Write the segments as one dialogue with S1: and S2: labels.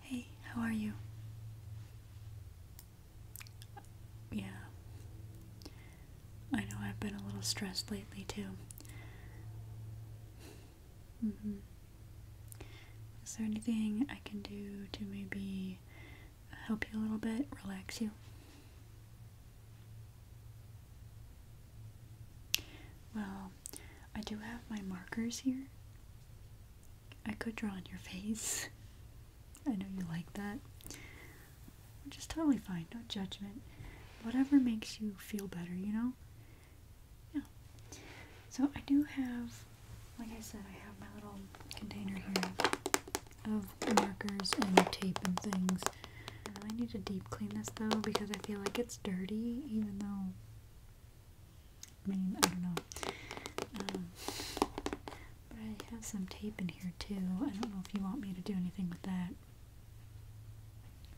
S1: Hey, how are you? Yeah. I know I've been a little stressed lately, too. Mm-hmm. Is there anything I can do to maybe help you a little bit, relax you? Well, I do have my markers here, I could draw on your face. I know you like that. Which is totally fine, no judgment. Whatever makes you feel better, you know? Yeah. So I do have, like I said, I have my little container here of markers and tape and things. I need to deep clean this though because I feel like it's dirty even though I mean, I don't know. Um, but I have some tape in here too. I don't know if you want me to do anything with that.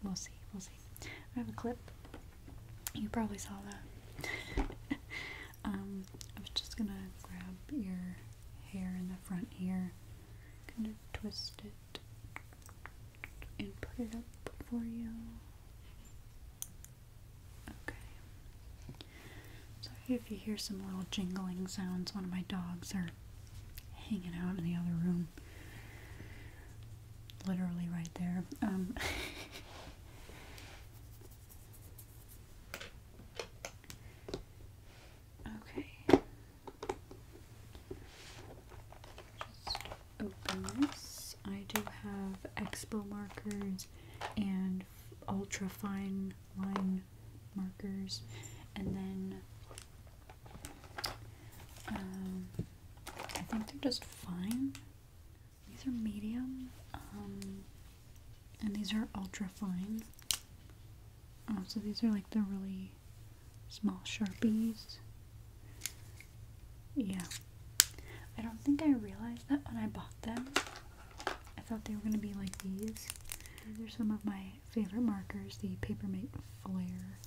S1: We'll see. We'll see. I have a clip. You probably saw that. um, I was just gonna grab your hair in the front here, kind of twist it, and put it up for you. Okay. Sorry if you hear some little jingling sounds. One of my dogs are hanging out in the other room. Literally right there. Um, okay just open I do have expo markers and ultra fine line markers, and then um, I think they're just fine. These are medium, um, and these are ultra fine. Uh, so these are like the really small sharpies. Yeah. I don't think I realized that when I bought them. I thought they were going to be like these. These are some of my favorite markers, the Papermate Flare.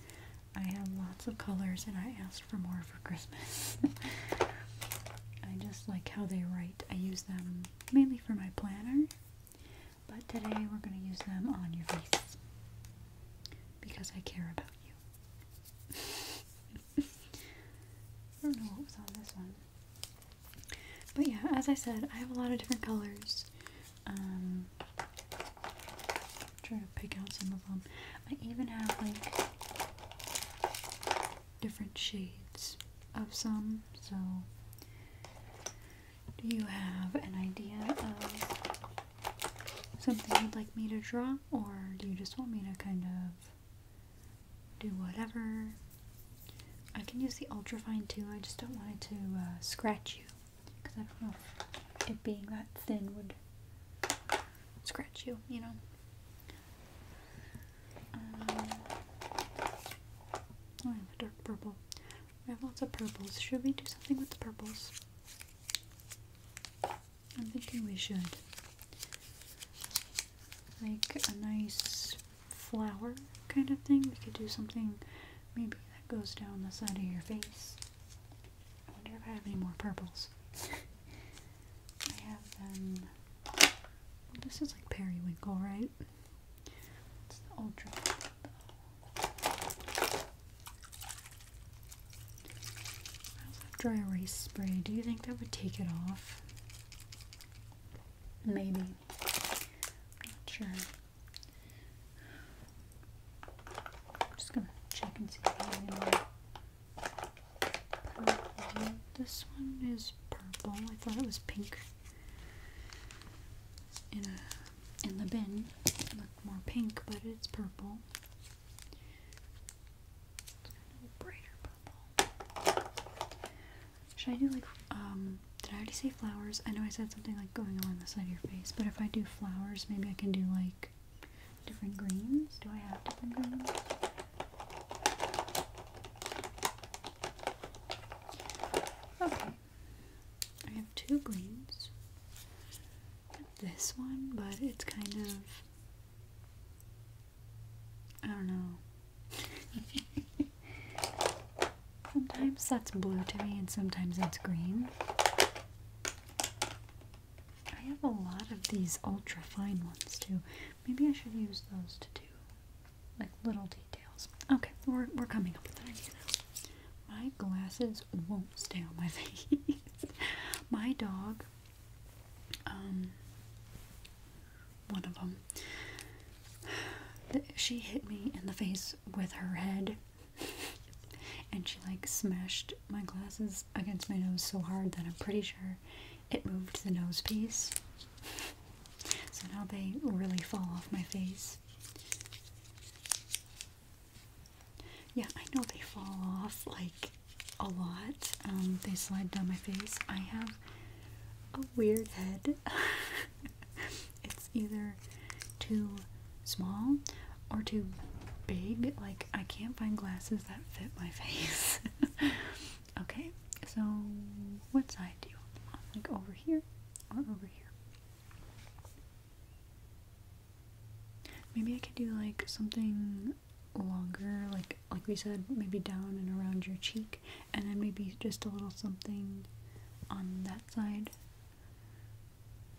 S1: I have lots of colors and I asked for more for Christmas. I just like how they write. I use them mainly for my planner, but today we're going to use them on your face because I care about you. I don't know what was on this one. But yeah, as I said, I have a lot of different colors. Um, to pick out some of them. I even have like different shades of some. So, do you have an idea of something you'd like me to draw, or do you just want me to kind of do whatever? I can use the ultrafine too, I just don't want it to uh, scratch you because I don't know if it being that thin would scratch you, you know. Um, oh, I have a dark purple. We have lots of purples. Should we do something with the purples? I'm thinking we should make a nice flower kind of thing. We could do something maybe that goes down the side of your face. I wonder if I have any more purples. I have them. this is like periwinkle, right? It's the ultra dry erase spray. Do you think that would take it off? Maybe. Not sure. I'm just gonna check and see purple. This one is purple. I thought it was pink. In in the bin. It looked more pink, but it's purple. Should I do like, um, did I already say flowers? I know I said something like going along the side of your face, but if I do flowers, maybe I can do like different greens. Do I have different greens? Okay. I have two greens this one, but it's kind of. I don't know. sometimes that's blue to me, and sometimes it's green. I have a lot of these ultra fine ones too. Maybe I should use those to do like little details. Okay, we're, we're coming up with an idea My glasses won't stay on my face. my dog, um, one of them, she hit me in the face with her head. and she like smashed my glasses against my nose so hard that I'm pretty sure it moved the nose piece. So now they really fall off my face. Yeah, I know they fall off like a lot. Um, they slide down my face. I have a weird head. it's either too small or too big. Like, I can't find glasses that fit my face. okay, so what side do you want? Like over here or over here? Maybe I could do like something longer, like like we said, maybe down and around your cheek, and then maybe just a little something on that side.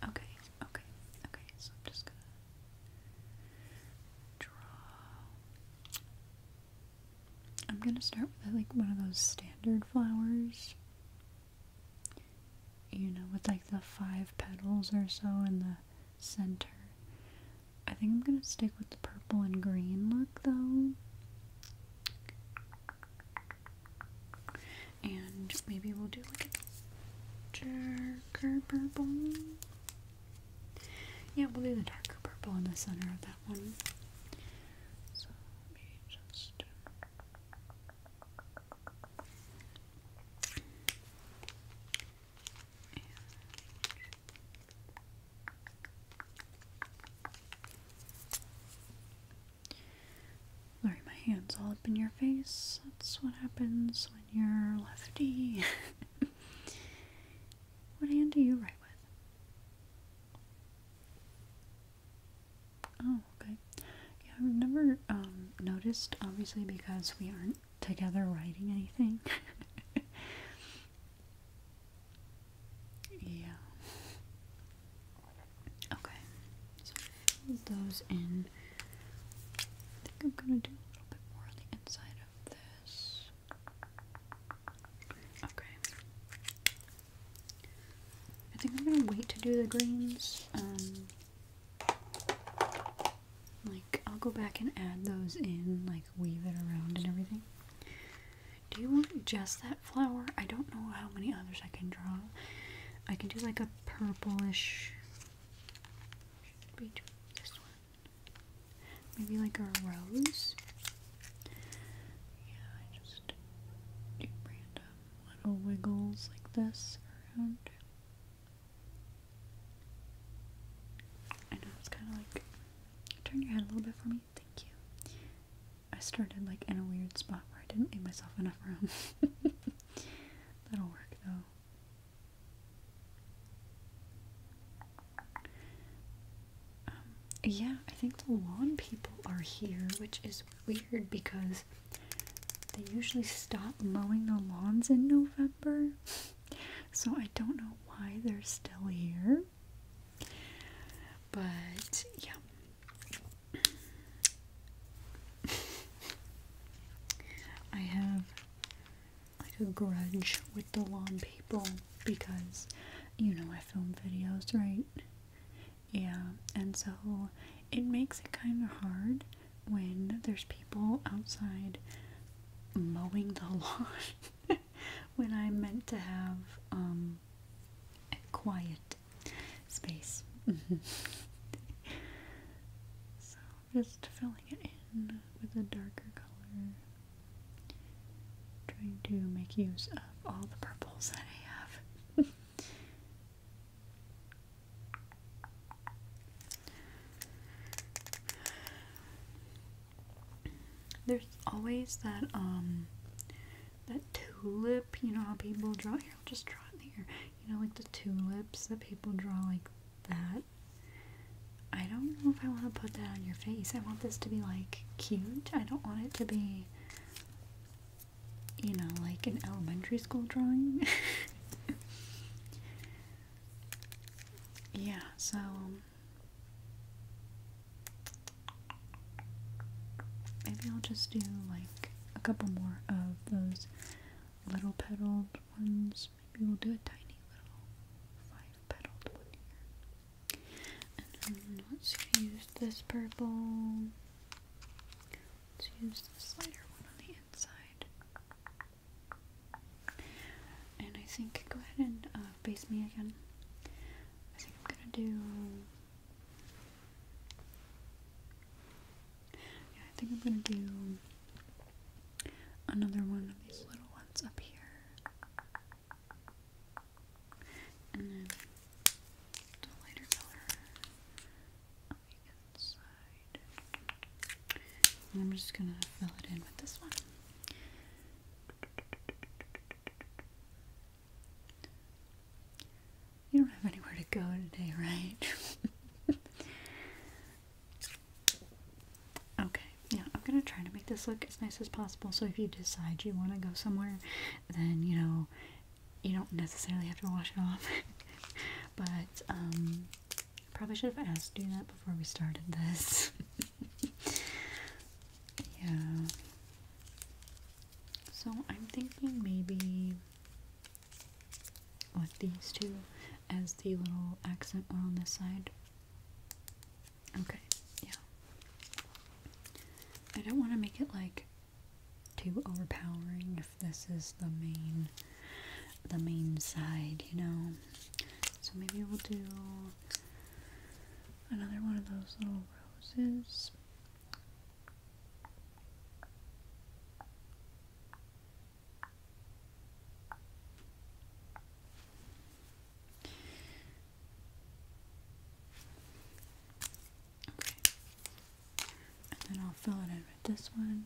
S1: Okay, okay, okay. So I'm just gonna draw. I'm gonna start with like one of those standard flowers you know, with like the five petals or so in the center. I think I'm gonna stick with the purple and green look though. And maybe we'll do like a darker purple. Yeah, we'll do the darker purple in the center of that one. Sorry, my hand's all up in your face. That's what happens when you're lefty. what hand do you write with? Oh, okay. Yeah, I've never um, noticed, obviously, because we aren't together writing anything. yeah. Okay. So fill those in. I think I'm gonna do a little bit more on the inside of this. Okay. I think I'm gonna wait to do the greens. Um, like, I'll go back and add those in, like, weave it around and everything. Do you want just that flower? I don't know how many others I can draw. I can do like a purplish. we do this one? Maybe like a rose? Yeah, I just do random little wiggles like this around. I know it's kind of like turn your head a little bit for me. Thank you. I started like in a weird spot where I didn't give myself enough room. That'll work though. Um, yeah, I think the lawn people are here, which is weird because they usually stop mowing the lawns in November. So I don't know why they're still here. But yeah. I have like a grudge with the lawn people because you know I film videos, right? Yeah, and so it makes it kind of hard when there's people outside mowing the lawn when I meant to have um, a quiet space. so just filling it in with a darker color. Trying to make use of all the purples that I have. There's always that um that tulip, you know how people draw here, I'll just draw here. You know, like the tulips that people draw like that. I don't know if I want to put that on your face. I want this to be like cute. I don't want it to be you know, like an elementary school drawing. yeah, so. Um, maybe I'll just do like a couple more of those little petaled ones. Maybe we'll do a tiny little five petaled one here. And let's use this purple. Let's use this lighter one on the inside. And I think, go ahead and uh, base me again. I think I'm gonna do. Yeah, I think I'm gonna do another one of these little ones up here. And then lighter color on the inside. I'm just gonna fill it in with this one. You don't have anywhere to go today, right? okay, yeah, I'm gonna try to make this look as nice as possible. So if you decide you want to go somewhere, then you know you don't necessarily have to wash it off. but um, probably should have asked you that before we started this. yeah. So I'm thinking maybe with these two as the little accent on this side. Okay, yeah. I don't want to make it like too overpowering if this is the main the main side, you know. So maybe we'll do another one of those little roses. Okay. And then I'll fill it in with this one.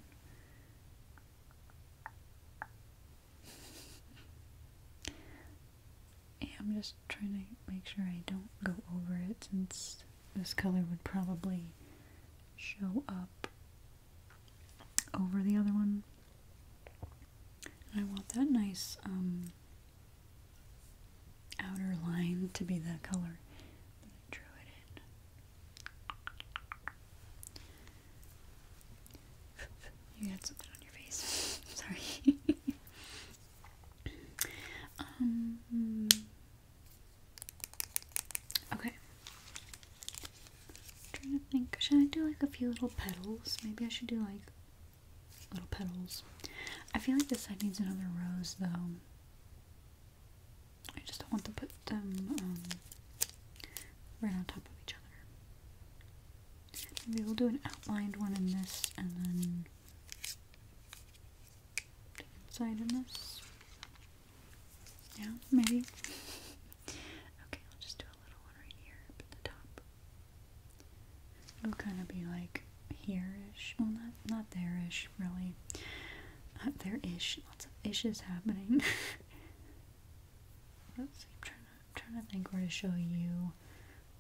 S1: I'm just trying to make sure I don't go over it since this color would probably show up over the other one. And I want that nice um, outer line to be the color that I drew it in. You had something on your face. Sorry. um. Okay. trying to think. Should I do like a few little petals? Maybe I should do like little petals. I feel like this side needs another rose though. I just don't want to put them um, right on top of each other. Maybe we'll do an outlined one in this and then inside in this. Yeah, maybe. okay, I'll just do a little one right here at the top. It'll kind of be like here Well, not not there really. Not uh, Lots of ishes happening. let I'm trying to trying to think where to show you.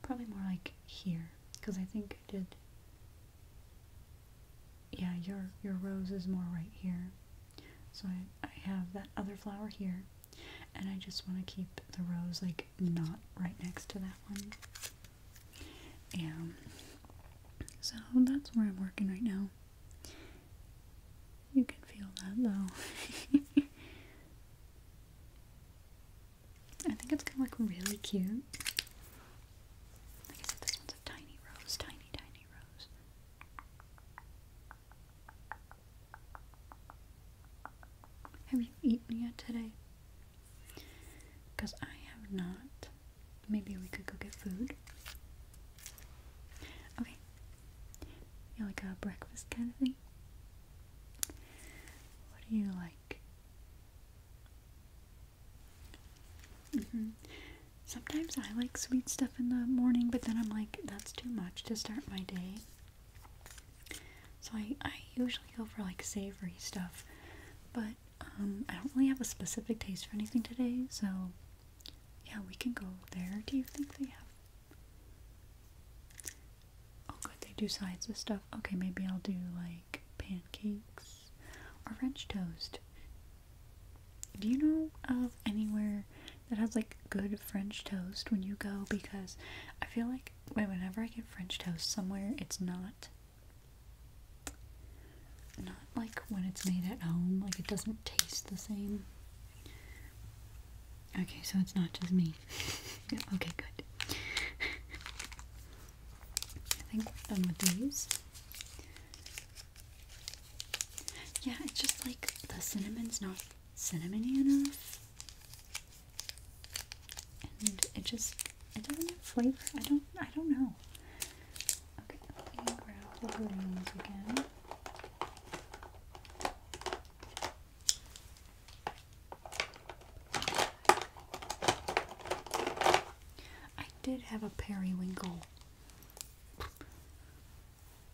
S1: Probably more like here, because I think I did. Yeah, your your rose is more right here. So I I have that other flower here, and I just want to keep the rose like not right next to that one. Um, so that's where I'm working right now. You can feel that though. I think it's gonna look really cute. Like I said, this one's a tiny rose, tiny, tiny rose. Have you eaten yet today? Because I have not. Maybe we could go get food. Okay. like a breakfast kind of thing? What do you like? Mm-hmm. Sometimes I like sweet stuff in the morning, but then I'm like, that's too much to start my day. So I, I usually go for like savory stuff, but um, I don't really have a specific taste for anything today, so yeah, we can go there. Do you think they have? Oh, good, they do sides of stuff. Okay, maybe I'll do like pancakes or French toast. Do you know of anywhere that has like good French toast when you go? Because I feel like Wait, whenever I get French toast somewhere, it's not not like when it's made at home, like it doesn't taste the same. Okay, so it's not just me. okay, good. I think we're done with these. Yeah, it's just like the cinnamon's not cinnamony enough and it just it doesn't have flavor. I don't I don't know. Okay, let me grab the greens again. I did have a periwinkle.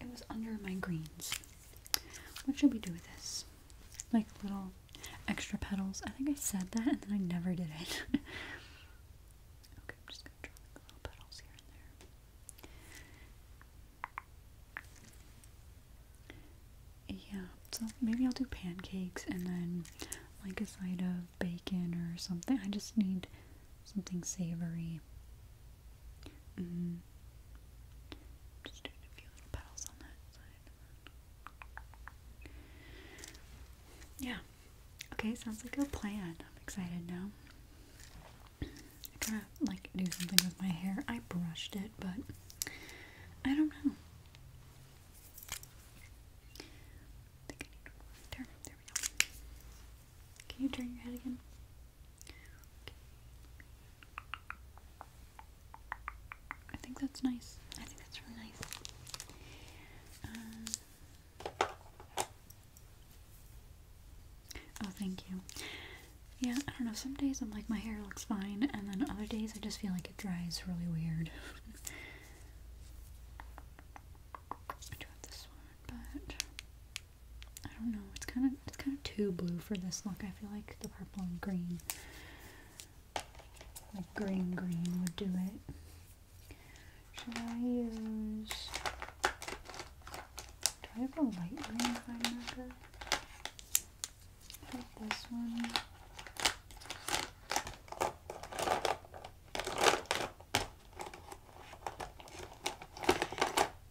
S1: It was under my greens. What should we do with this? Like little extra petals. I think I said that and then I never did it. okay, I'm just gonna draw little petals here and there. Yeah, so maybe I'll do pancakes and then like a side of bacon or something. I just need something savory. Mm. Yeah. Okay, sounds like a plan. I'm excited now. I gotta like do something with my hair. I brushed it, but I don't know. Can you turn your head again? I think that's nice. I think that's really nice. Uh, oh, thank you. Yeah, I don't know. Some days I'm like, my hair looks fine, and then other days I just feel like it dries really weird. I do have this one, but I don't know. It's kind of it's kind of too blue for this look. I feel like purple and green. Like green green would do it. Should I use do I have a light green fine I like this one.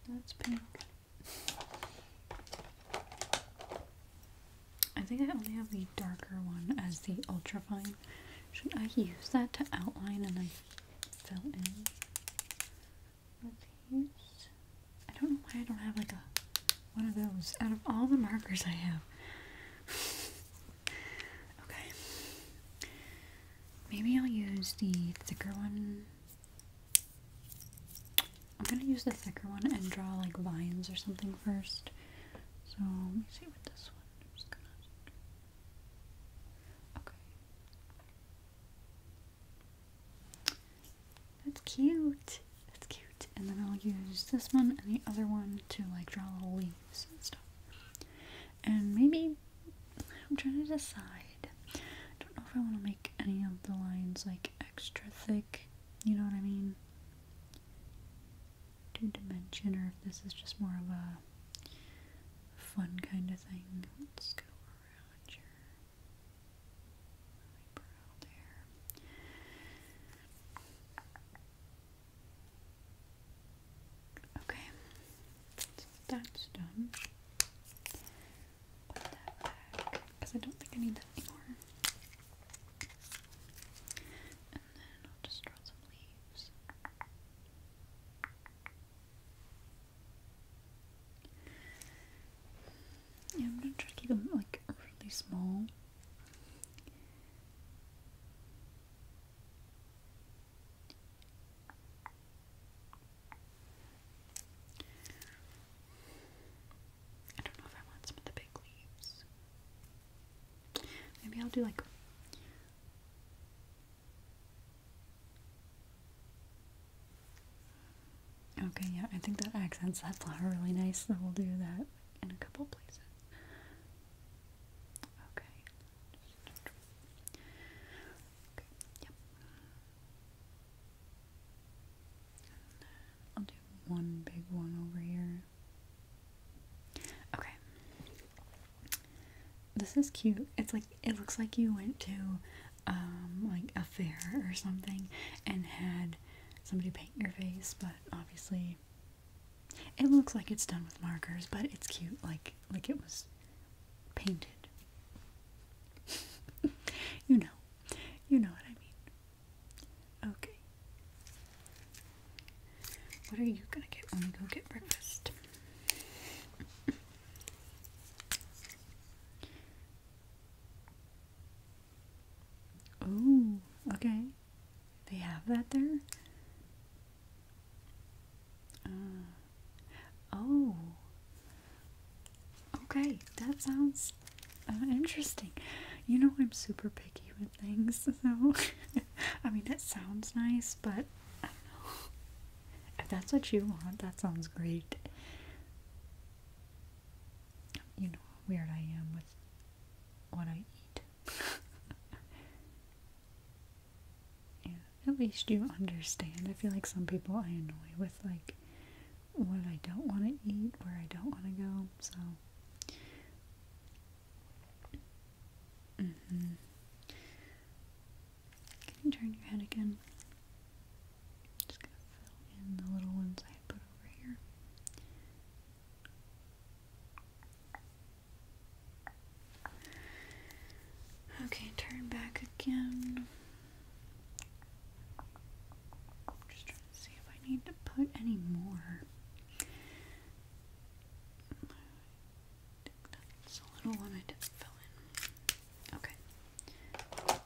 S1: That's pink. I think I only have the darker one as the ultrafine. Should I use that to outline and I fill in with these? I don't know why I don't have like a one of those out of all the markers I have. okay. Maybe I'll use the thicker one I'm gonna use the thicker one and draw like vines or something first. So let me see what this one. i Okay. That's cute. That's cute. And then I'll use this one and the other one to like draw little leaves and stuff. And maybe I'm trying to decide. I don't know if I want to make any of the lines like extra thick, you know what I mean? Two dimension, or if this is just more of a fun kind of thing. Let's go around your eyebrow there. Okay, that's done put that back because I don't think I need that anymore. And then I'll just draw some leaves. Yeah, I'm gonna try to keep them like really small. I don't know if I want some of the big leaves. Maybe I'll do like Okay, yeah, I think that accents that flower really nice, so we'll do that in a couple places. Okay. yep. I'll do one big one over here. Okay. This is cute. It's like it looks like you went to um like a fair or something and had somebody paint your face, but obviously it looks like it's done with markers, but it's cute like like it was painted you know. You know what I mean. Okay. What are you gonna get when we go get breakfast? oh, okay. They have that there? Uh, Oh. Okay, that sounds uh, interesting. You know I'm super picky with things, so I mean that sounds nice, but If that's what you want, that sounds great. You know how weird I am with what I eat. yeah at least you understand. I feel like some people I annoy with like what I don't want to eat, where I don't want to go. So, mm can you turn your head again? Just gonna fill in the little ones I put over here. Okay, turn back again. I'm just trying to see if I need to put any more. I a little one I didn't fill in. Okay.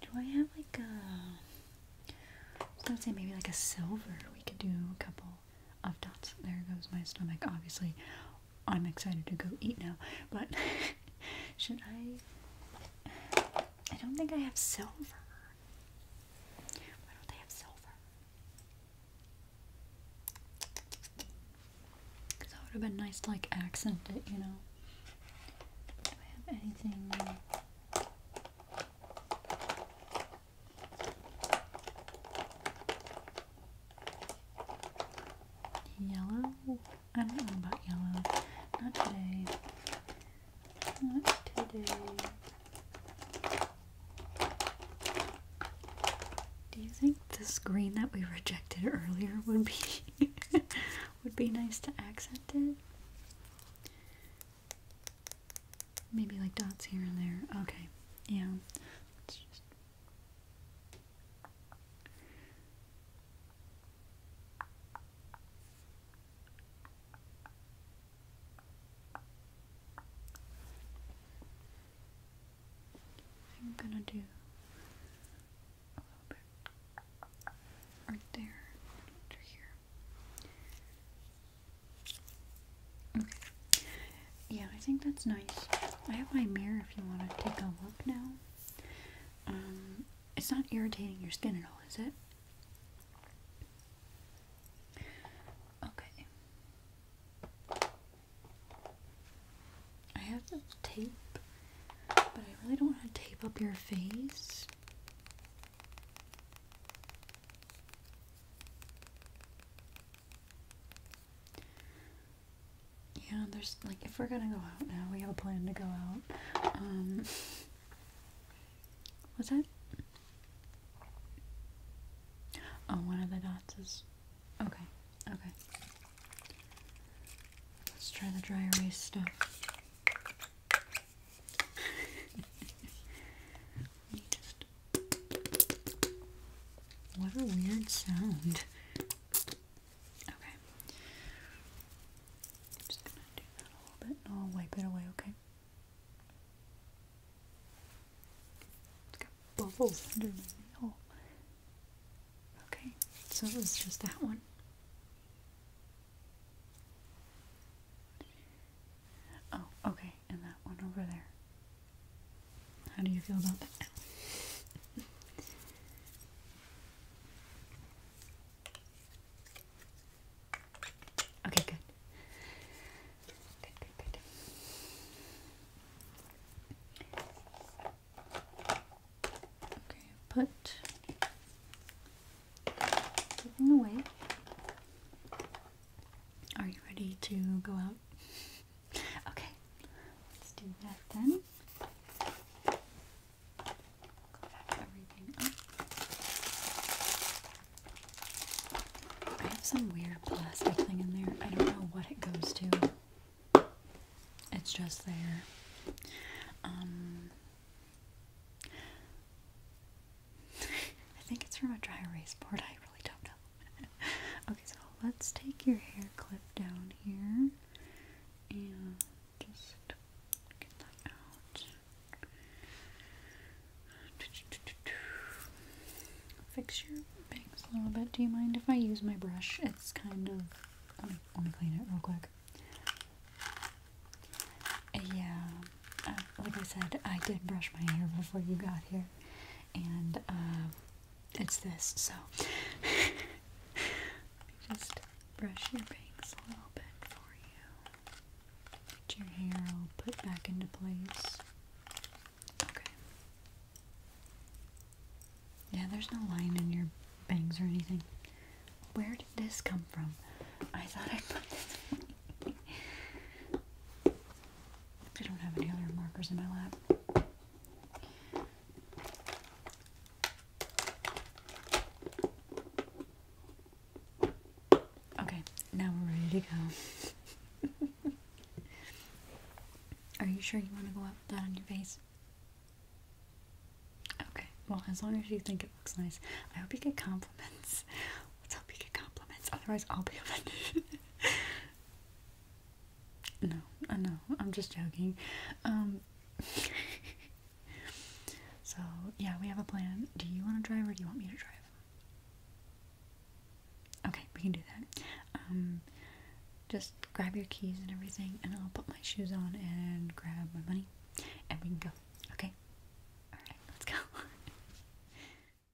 S1: Do I have like a? I would say maybe like a silver. We could do a couple of dots. There goes my stomach. Obviously, I'm excited to go eat now, but should I? I don't think I have silver. Why don't they have silver? Because that would have been nice to like accent it, you know. Do I have anything? Yellow? I don't know about yellow. Not today. Not today. Do you think this green that we rejected earlier would be would be nice to accent it? Maybe like dots here and there. Okay. Yeah. I'm gonna do a little bit right there to here. Okay yeah, I think that's nice. I have my mirror if you want to take a look now. Um, it's not irritating your skin at all, is it? Okay. I have tape, but I really don't want to tape up your face. Yeah, there's like if we're gonna go out now, we have a plan to go out. Um what's that? Oh, one of the dots is okay, okay. Let's try the dry erase stuff. just What a weird sound. Okay. I'm just gonna do that a little bit and I'll wipe it away, okay? bubbles under my nail. Okay, so it was just that one. Oh, okay, and that one over there. How do you feel about that okay, good. Good, good, good. Okay, put everything away. Are you ready to go out? Okay, let's do that then. I have some weird plastic thing in there. I don't know what it goes to. It's just there. Um, I think it's from a dry erase board. I really don't know okay, so let's take your hair clip down here and just get that out. Fix your bangs a little bit. Do you mind if I use my brush? It's kind of. Let me, let me clean it real quick. Yeah, uh, like I said, I did brush my hair before you got here, and uh, it's this, so just brush your bangs a little bit for you. Put your hair all put back into place. Okay. Yeah, there's no line in your bangs or anything. Where did this come from? I thought I put this. I don't have any other markers in my lap. Okay, now we're ready to go. Are you sure you want to go up that on your face? Okay, well, as long as you think it looks nice, I hope you get compliments. Let's hope you get compliments, otherwise, I'll be offended. No, I know. I'm just joking. Um, so yeah, we have a plan. Do you want to drive or do you want me to drive? Okay, we can do that. Um, just grab your keys and everything, and I'll put my shoes on and grab my money, and we can go. Okay. All right, let's go.